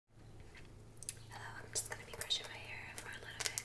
Hello, uh, I'm just going to be brushing my hair for a little bit.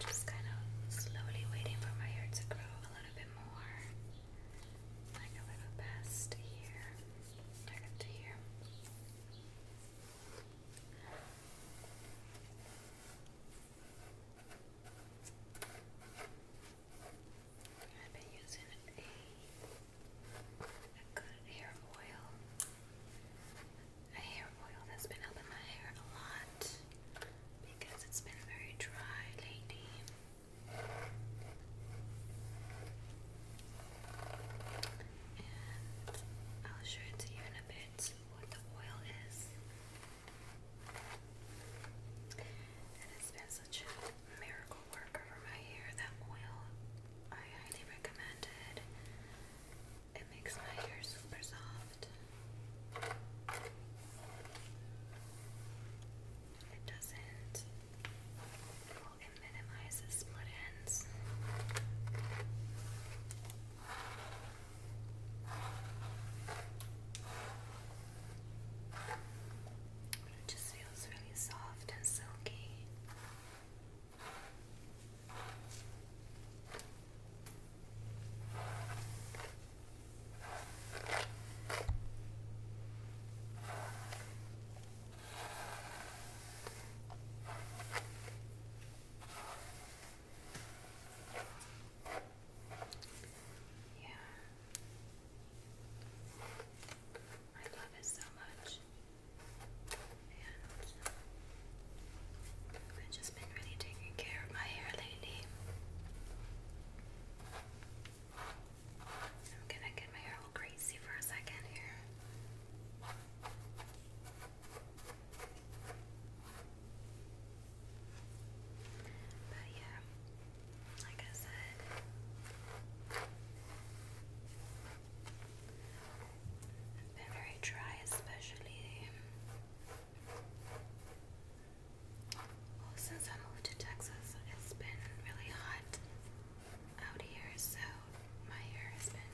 just kind of slowly waiting for my hair to grow a little bit more. Like a little past here. up to here. I've been using a good hair oil a hair oil has been helping my hair a lot because it's been very dry lately. And I'll show it to you in a bit what the oil is. And it's been such a miracle worker for my hair, that oil. I highly recommend it makes my hair super soft. It doesn't. it minimizes split ends. it just feels really soft and silky. Yeah. I love it so much. And I've just been really taking care of my hair lately. I'm gonna get my hair all crazy for a second here. But yeah, like I said, it's been very dry, especially since I moved to Texas. It's been really hot out here, so my hair has been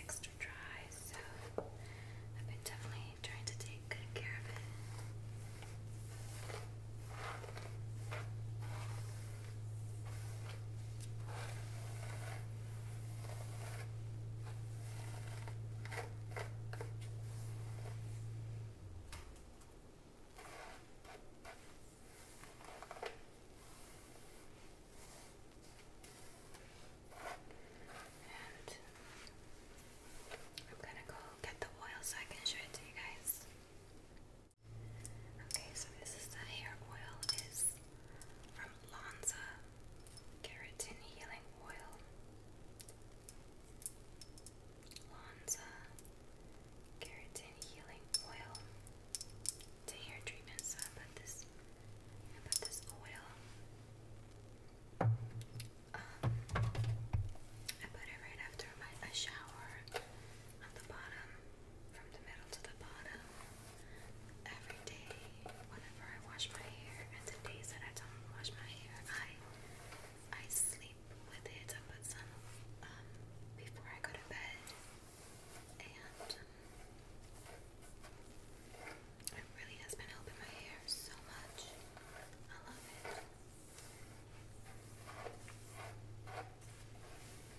extra dry. So I've been definitely trying to take good care of it. And I'm gonna go get the oil so I can show it to you guys. Okay, so this is the hair oil is from Lonza Keratin Healing Oil. Lonza Keratin Healing Oil. It's a hair treatment, so I put this I put this oil. Um, I put it right after my shower on the bottom from the middle to the bottom every day whenever I wash my hair and the days that I don't wash my hair I I sleep with it. I put some um before I go to bed and um, it really has been helping my hair so much. I love it.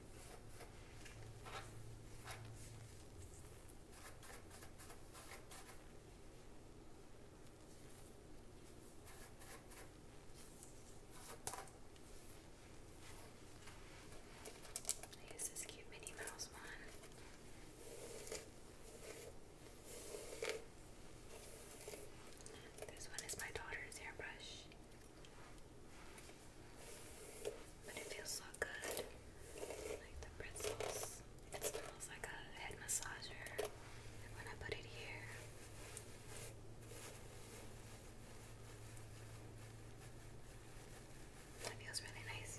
I use this cute Minnie Mouse one. This one is my daughter's airbrush. But it feels so good. Like the bristles. It smells like a head massager. when I put it here, it feels really nice.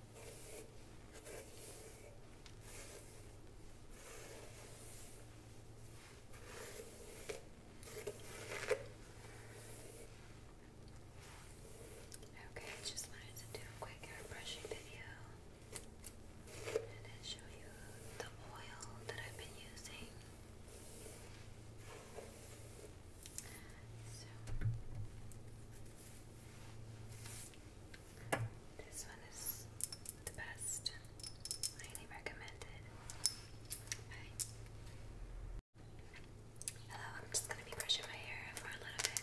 Okay, just wanted to do a quick hair brushing video and show you the oil that I've been using. So this one is the best. Highly recommended. Hello, I'm just gonna be brushing my hair for a little bit.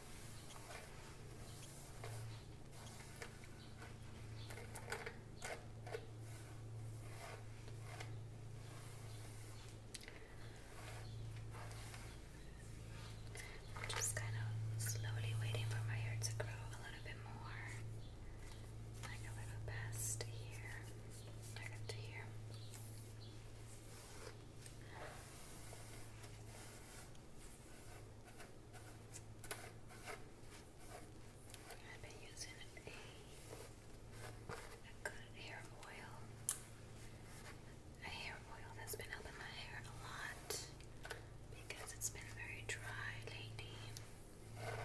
I'm just kind of slowly waiting for my hair to grow a little bit more, like a little past here, like up to here. I've been using a, good hair oil, a hair oil that's been helping my hair a lot because it's been very dry lately. And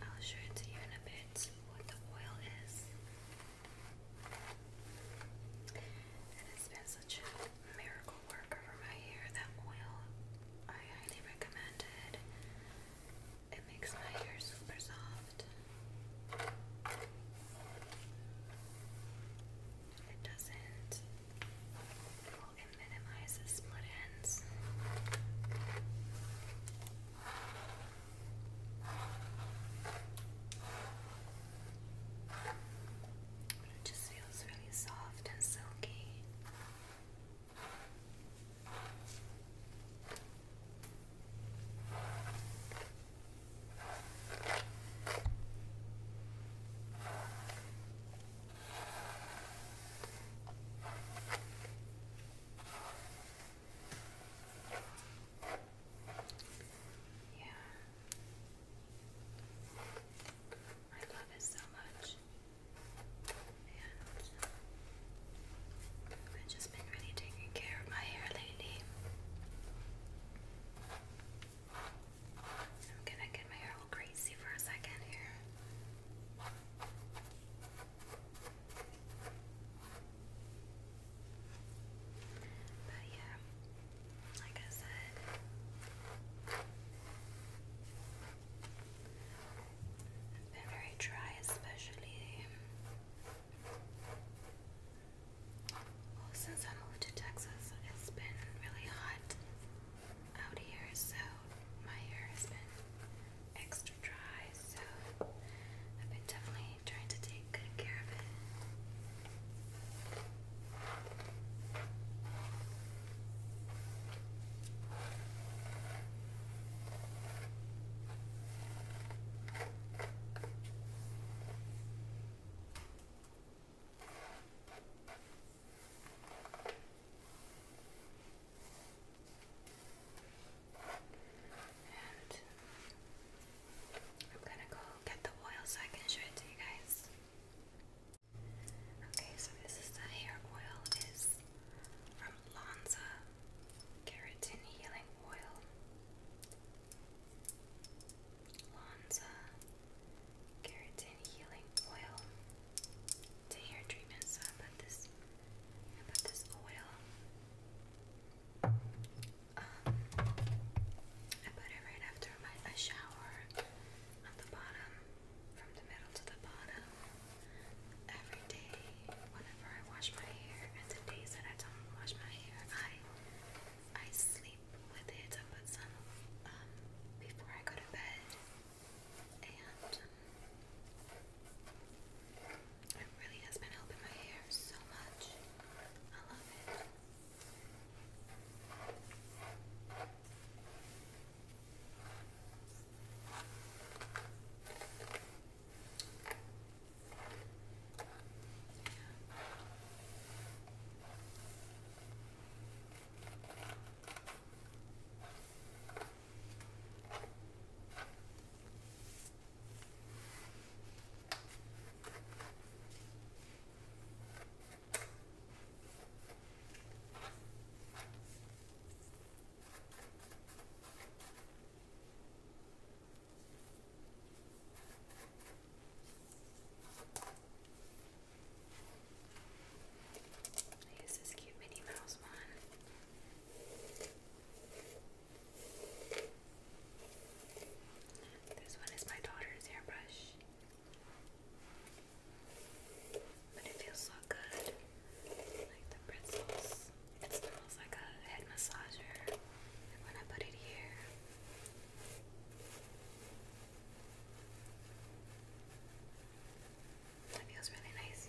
I'll show it to you in a bit what the oil is. It has been such a miracle work over my hair. That oil, I highly recommend it. makes my hair super soft. It doesn't. it minimizes split ends. It just feels really soft and silky. Yeah. I love it so much. And I've just been really taking care of my hair lately. I'm gonna get my hair all crazy for a second here. But yeah, like I said, it's been very dry, especially um, since I moved to Texas. It's been really hot out here, so my hair has been extra extra so I've been definitely trying to take good care of it. I'm gonna go get the oil so I can show it to you guys. Okay, so this is the hair oil is from Lonza Keratin Healing Oil. Lonza Keratin Healing Oil to hair treatment. So I this I this oil I put it right after my shower on the bottom, from the middle to the bottom. Every day, whenever I wash my hair, and the days that I don't wash my hair, I I sleep with it. I put some um, before I go to bed, and um, it really has been helping my hair so much. I love it. I use this cute Minnie Mouse one. This one is my daughter's hairbrush, But it feels so good. Like the bristles. It smells like a head massager. when I put it here, that feels really nice.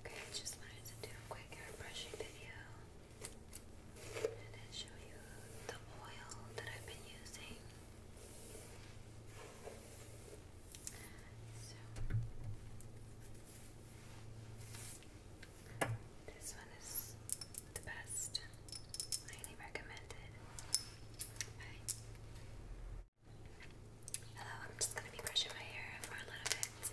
Okay, just wanted to do a quick hair brushing video and show you the oil that I've been using. So this one is the best. Highly recommended. Hello, I'm just gonna be brushing my hair for a little bit.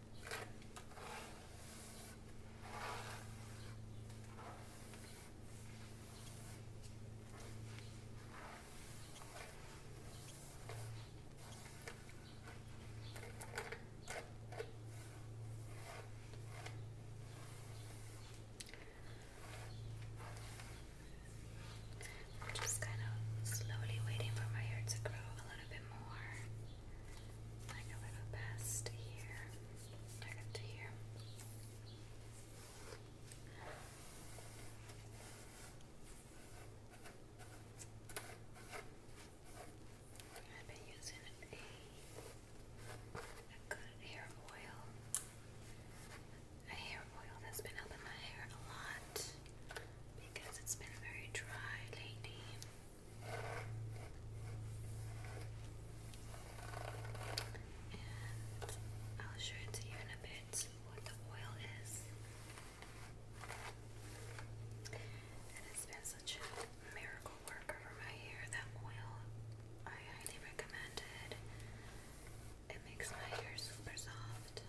I'm just kind of slowly waiting for my hair to grow a little bit more like a little past here, like up to here. I've been using a, good hair oil, a hair oil that's been helping my hair a lot because it's been very dry lately. And I'll show it to you in a bit what the oil is. It has been such a miracle worker for my hair, that oil. I highly recommend it. It makes my hair super soft.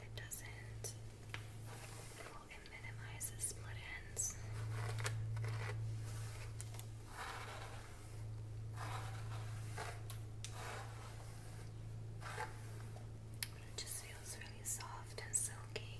It doesn't it minimizes split ends. it just feels really soft and silky.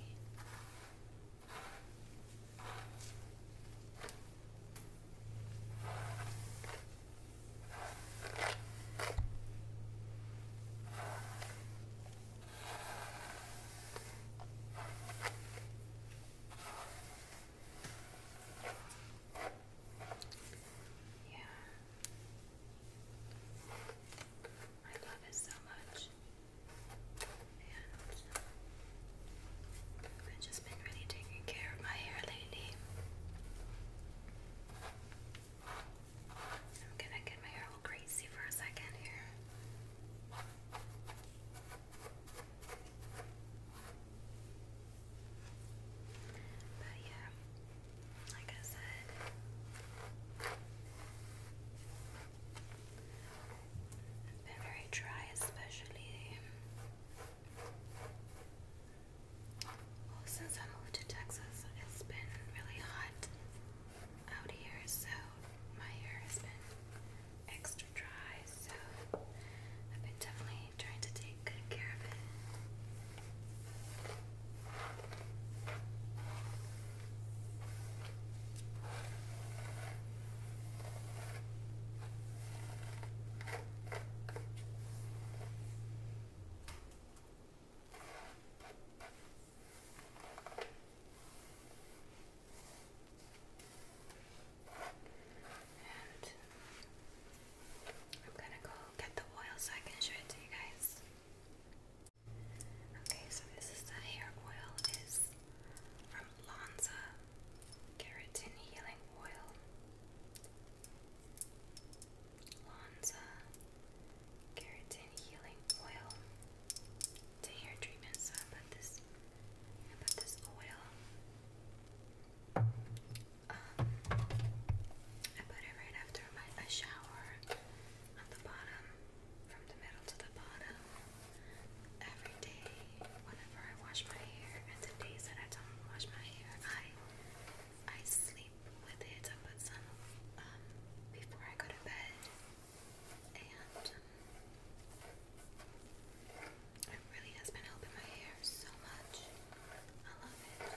Yeah. I love it so much. And I've just been really taking care of my hair lately. I'm gonna get my hair all crazy for a second here. But yeah, like I said, it's been very dry, especially well, since I moved to Texas, it's been really hot out here, so my hair has been extra dry, so I've been definitely trying to take good care of it. I'm gonna go get the oil so I can show it to you guys. Okay, so this is the hair oil is from Lonza Keratin Healing Oil. Lonza Keratin Healing Oil. hair treatment, I put this, I put this oil. Um, I put it right after my shower on the bottom, from the middle to the bottom. Every day, whenever I wash my hair, and the days that I don't wash my hair, I I sleep with it. I um, before I go to bed, and um, it really has been helping my hair so much. I love it.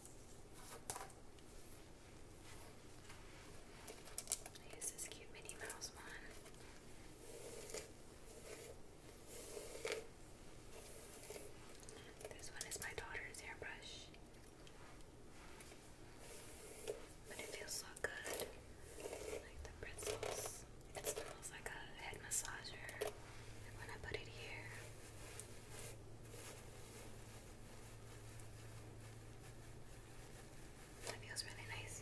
I use this cute Minnie Mouse one. This one is my daughter's hairbrush, But it feels so good. Like the bristles. It smells like a head massager. And when I put it here, that feels really nice.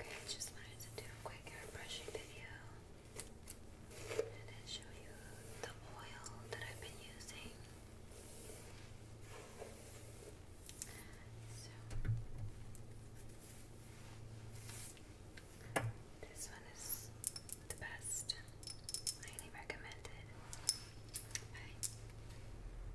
Okay, just wanted to do a quick hair brushing video and show you the oil that I've been using. this one is the best. Highly recommended. I